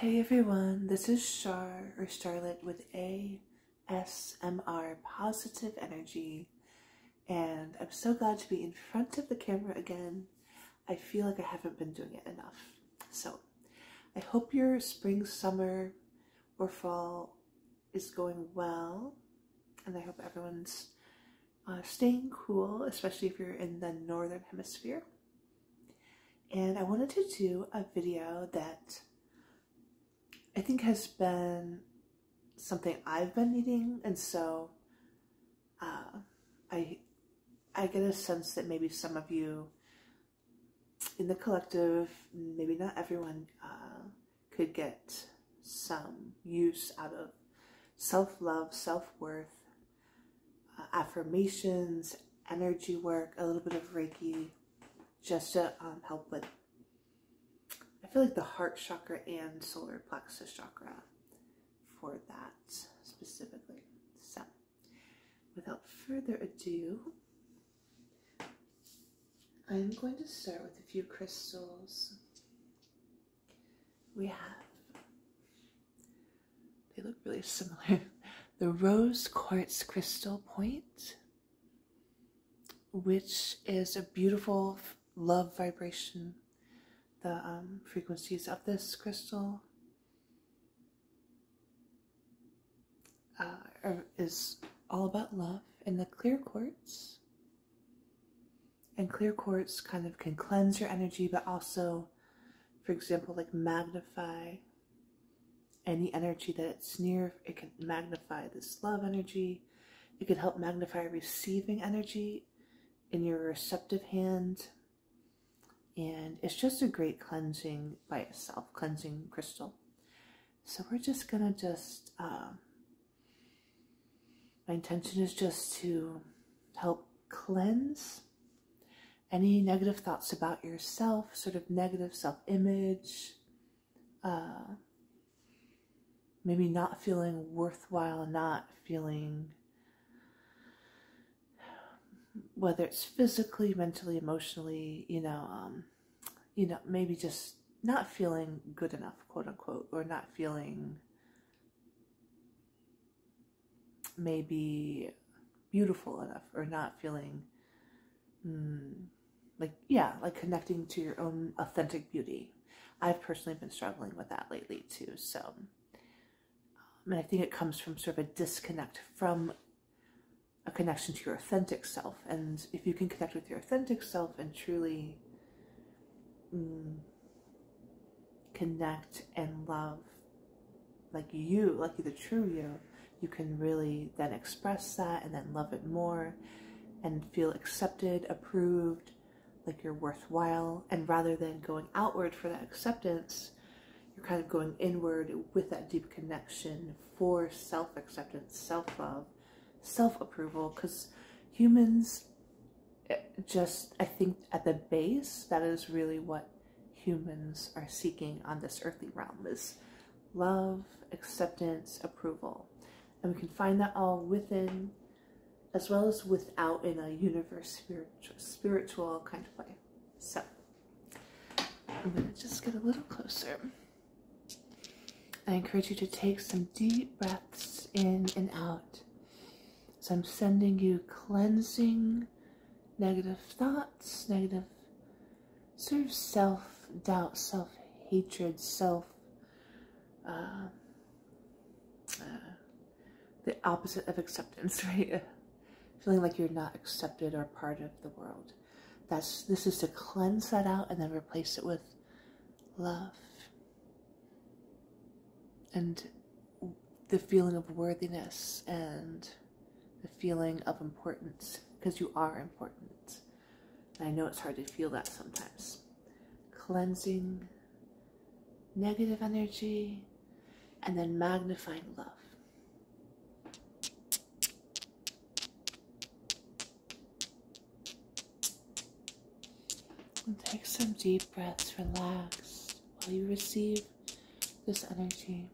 Hey everyone, this is Char or Charlotte with ASMR Positive Energy, and I'm so glad to be in front of the camera again. I feel like I haven't been doing it enough. So, I hope your spring, summer, or fall is going well, and I hope everyone's uh, staying cool, especially if you're in the northern hemisphere and I wanted to do a video that I think has been something I've been needing, and so uh, I I get a sense that maybe some of you in the collective, maybe not everyone, uh, could get some use out of self-love, self-worth, uh, affirmations, energy work, a little bit of Reiki just to um, help with. I feel like the heart chakra and solar plexus chakra for that specifically. So, without further ado, I'm going to start with a few crystals. We have they look really similar. The rose quartz crystal point, which is a beautiful love vibration. The um, frequencies of this crystal uh, is all about love. And the clear quartz, and clear quartz kind of can cleanse your energy, but also for example, like magnify any energy that it's near. It can magnify this love energy. It can help magnify receiving energy in your receptive hand. And it's just a great cleansing by itself, cleansing crystal. So we're just going to just, um, my intention is just to help cleanse any negative thoughts about yourself, sort of negative self image, uh, maybe not feeling worthwhile, not feeling whether it's physically, mentally, emotionally, you know, um, you know, maybe just not feeling good enough, quote unquote, or not feeling maybe beautiful enough or not feeling mm, like yeah like connecting to your own authentic beauty i've personally been struggling with that lately too so um, and i think it comes from sort of a disconnect from a connection to your authentic self and if you can connect with your authentic self and truly mm, connect and love like you, like the true you, you can really then express that and then love it more and feel accepted, approved, like you're worthwhile. And rather than going outward for that acceptance, you're kind of going inward with that deep connection for self acceptance, self love, self approval. Because humans, eh, just, I think at the base, that is really what humans are seeking on this earthly realm is love, acceptance, approval. And we can find that all within as well as without in a universe spiritual, spiritual kind of way. So I'm going to just get a little closer. I encourage you to take some deep breaths in and out. So I'm sending you cleansing negative thoughts, negative sort of self-doubt, self-hatred, self, um, uh, the opposite of acceptance, right? Feeling like you're not accepted or part of the world. That's This is to cleanse that out and then replace it with love. And the feeling of worthiness and the feeling of importance because you are important. And I know it's hard to feel that sometimes. Cleansing negative energy and then magnifying love. take some deep breaths, relax while you receive this energy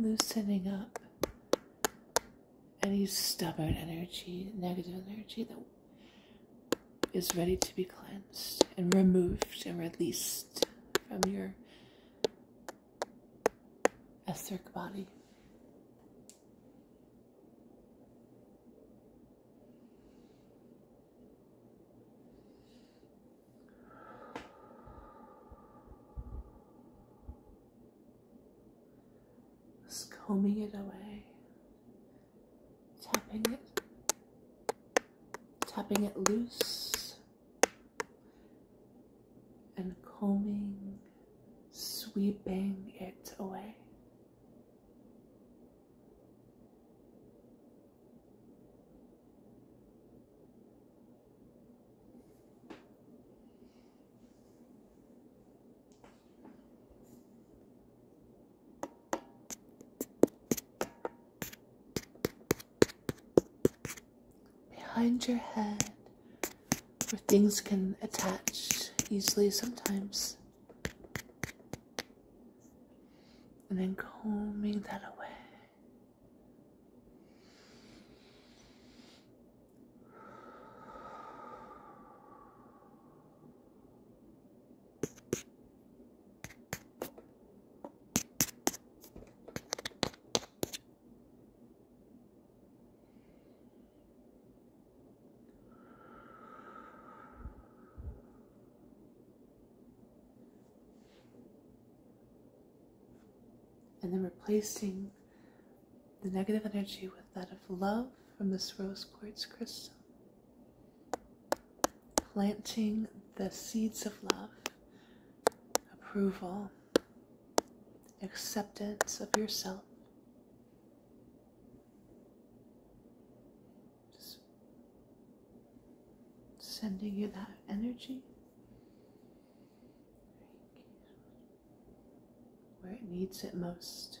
loosening up any stubborn energy, negative energy that is ready to be cleansed and removed and released from your etheric body. Just combing it away, tapping it, tapping it loose, and combing, sweeping it away. Behind your head, where things can attach easily sometimes. And then combing that away and then replacing the negative energy with that of love from this rose quartz crystal. Planting the seeds of love, approval, acceptance of yourself. Just sending you that energy where it needs it most.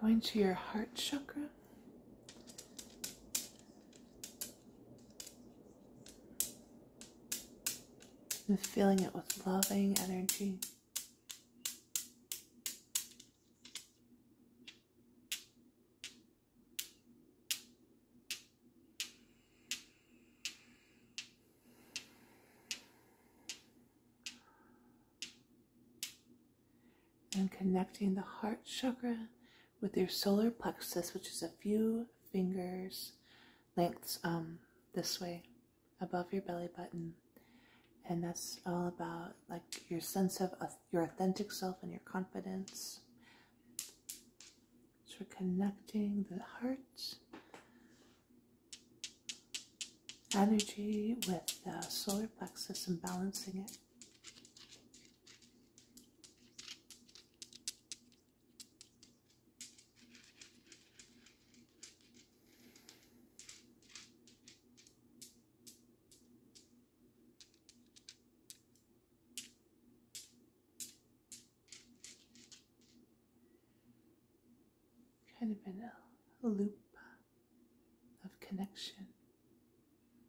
Going to your heart chakra and filling it with loving energy and connecting the heart chakra with your solar plexus, which is a few fingers lengths um, this way above your belly button. And that's all about like your sense of your authentic self and your confidence. So connecting the heart energy with the solar plexus and balancing it. Kind of in a loop of connection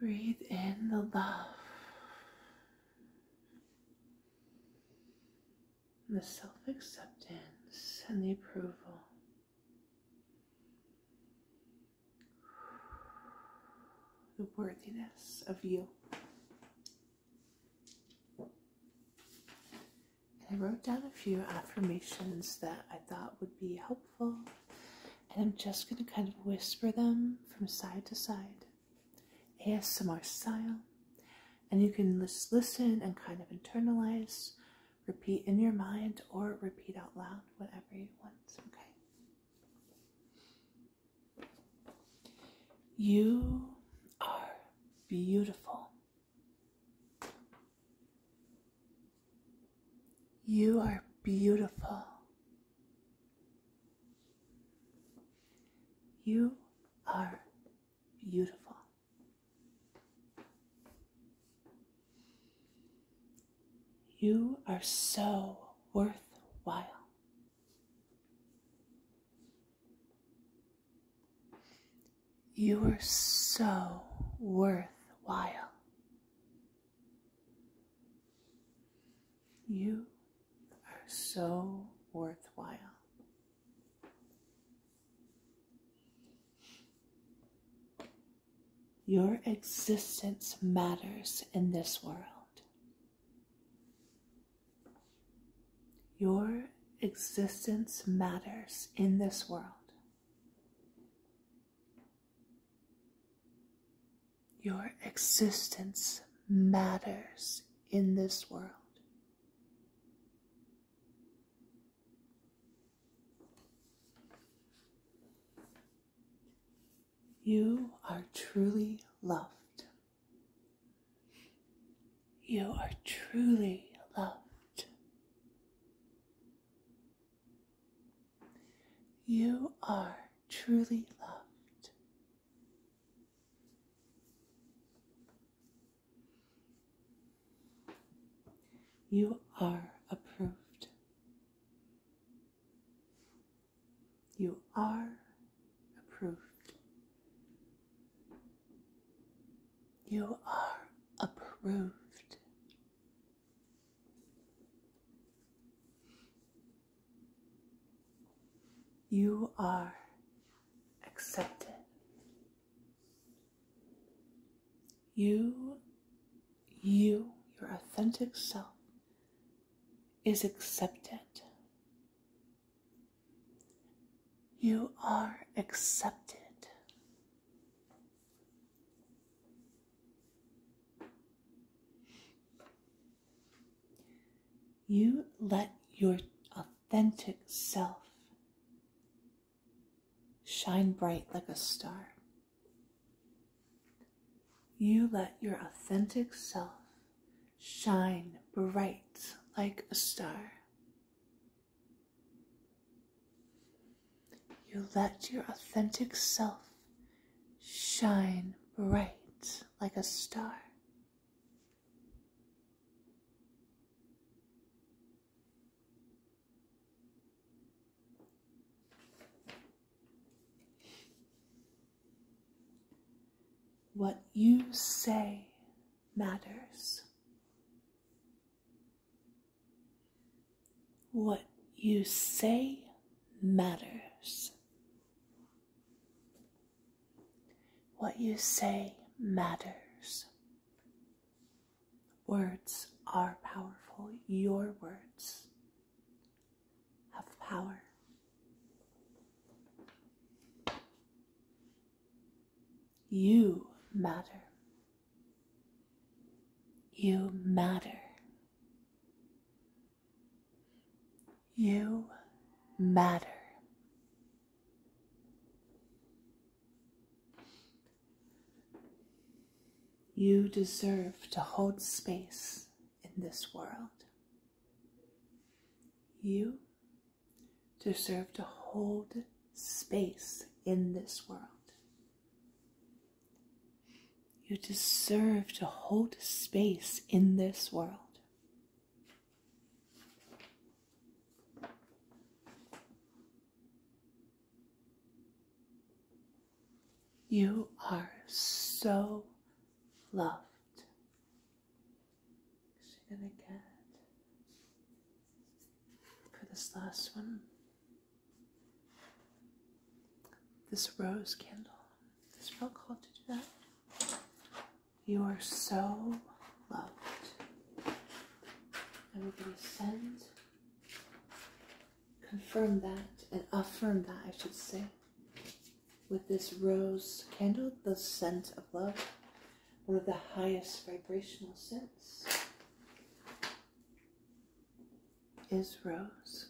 Breathe in the love, the self acceptance, and the approval. The worthiness of you. I wrote down a few affirmations that I thought would be helpful and I'm just going to kind of whisper them from side to side, ASMR style. And you can just listen and kind of internalize, repeat in your mind, or repeat out loud, whatever you want. Okay. You are beautiful. You are beautiful. You are beautiful. You are so worthwhile. You are so worthwhile. You are so worthwhile. Your existence matters in this world. Your existence matters in this world. Your existence matters in this world. You are truly loved. You are truly loved. You are truly loved. You are approved. You are approved. You are approved. You are accepted. You, you, your authentic self is accepted. You are accepted. You let your authentic self shine bright like a star. You let your authentic self shine bright like a star. You let your authentic self shine bright like a star. What you say matters. What you say matters. What you say matters. Words are powerful. Your words have power. You matter. You matter. You matter. You deserve to hold space in this world. You deserve to hold space in this world. You deserve to hold space in this world. You are so loved. gonna get for this last one? this rose candle. This real called to do that. You are so loved. I'm going to send, confirm that, and affirm that, I should say, with this rose candle, the scent of love, one of the highest vibrational scents is rose.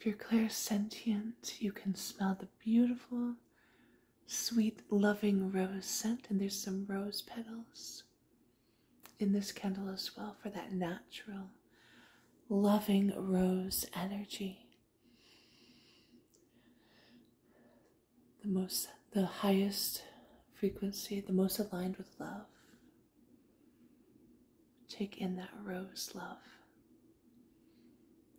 If you're clear sentient, you can smell the beautiful sweet, loving rose scent, and there's some rose petals in this candle as well for that natural, loving rose energy. The most, the highest frequency, the most aligned with love. Take in that rose love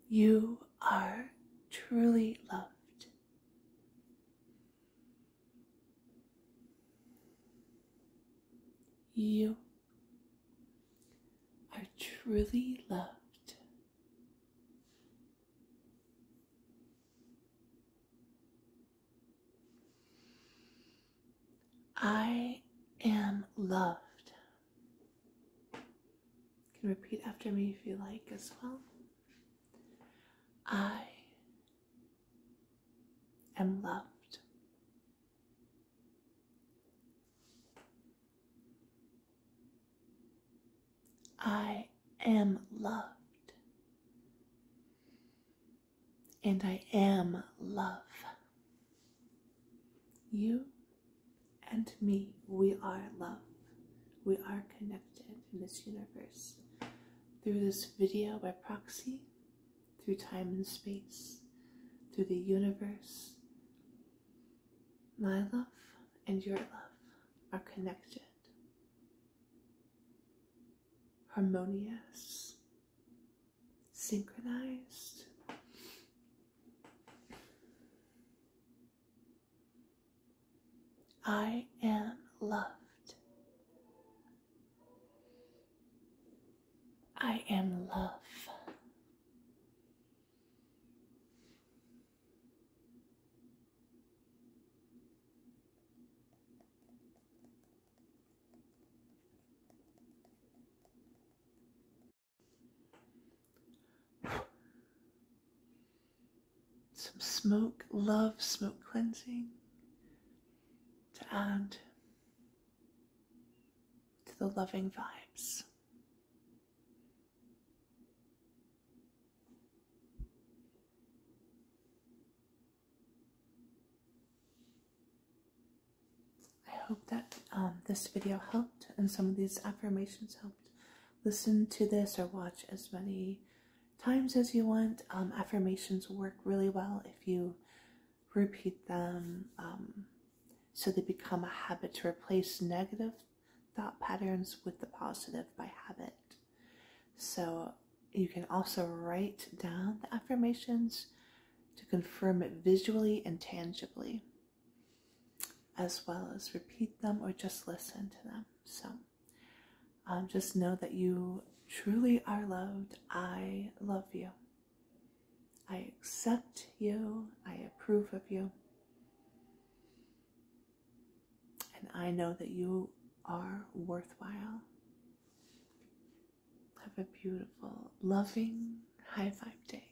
you are truly loved. You are truly loved. I am loved can repeat after me if you like as well. I am loved. I am loved. And I am love. You and me. We are love. We are connected in this universe through this video by proxy, through time and space, through the universe. My love and your love are connected, harmonious, synchronized. I am loved. I am love. Some smoke, love, smoke cleansing to add to the loving vibes. I hope that um, this video helped and some of these affirmations helped listen to this or watch as many times as you want. Um, affirmations work really well if you repeat them um, so they become a habit to replace negative thought patterns with the positive by habit. So you can also write down the affirmations to confirm it visually and tangibly as well as repeat them or just listen to them. So um, just know that you truly are loved. I love you. I accept you. I approve of you. And I know that you are worthwhile. Have a beautiful, loving high five day.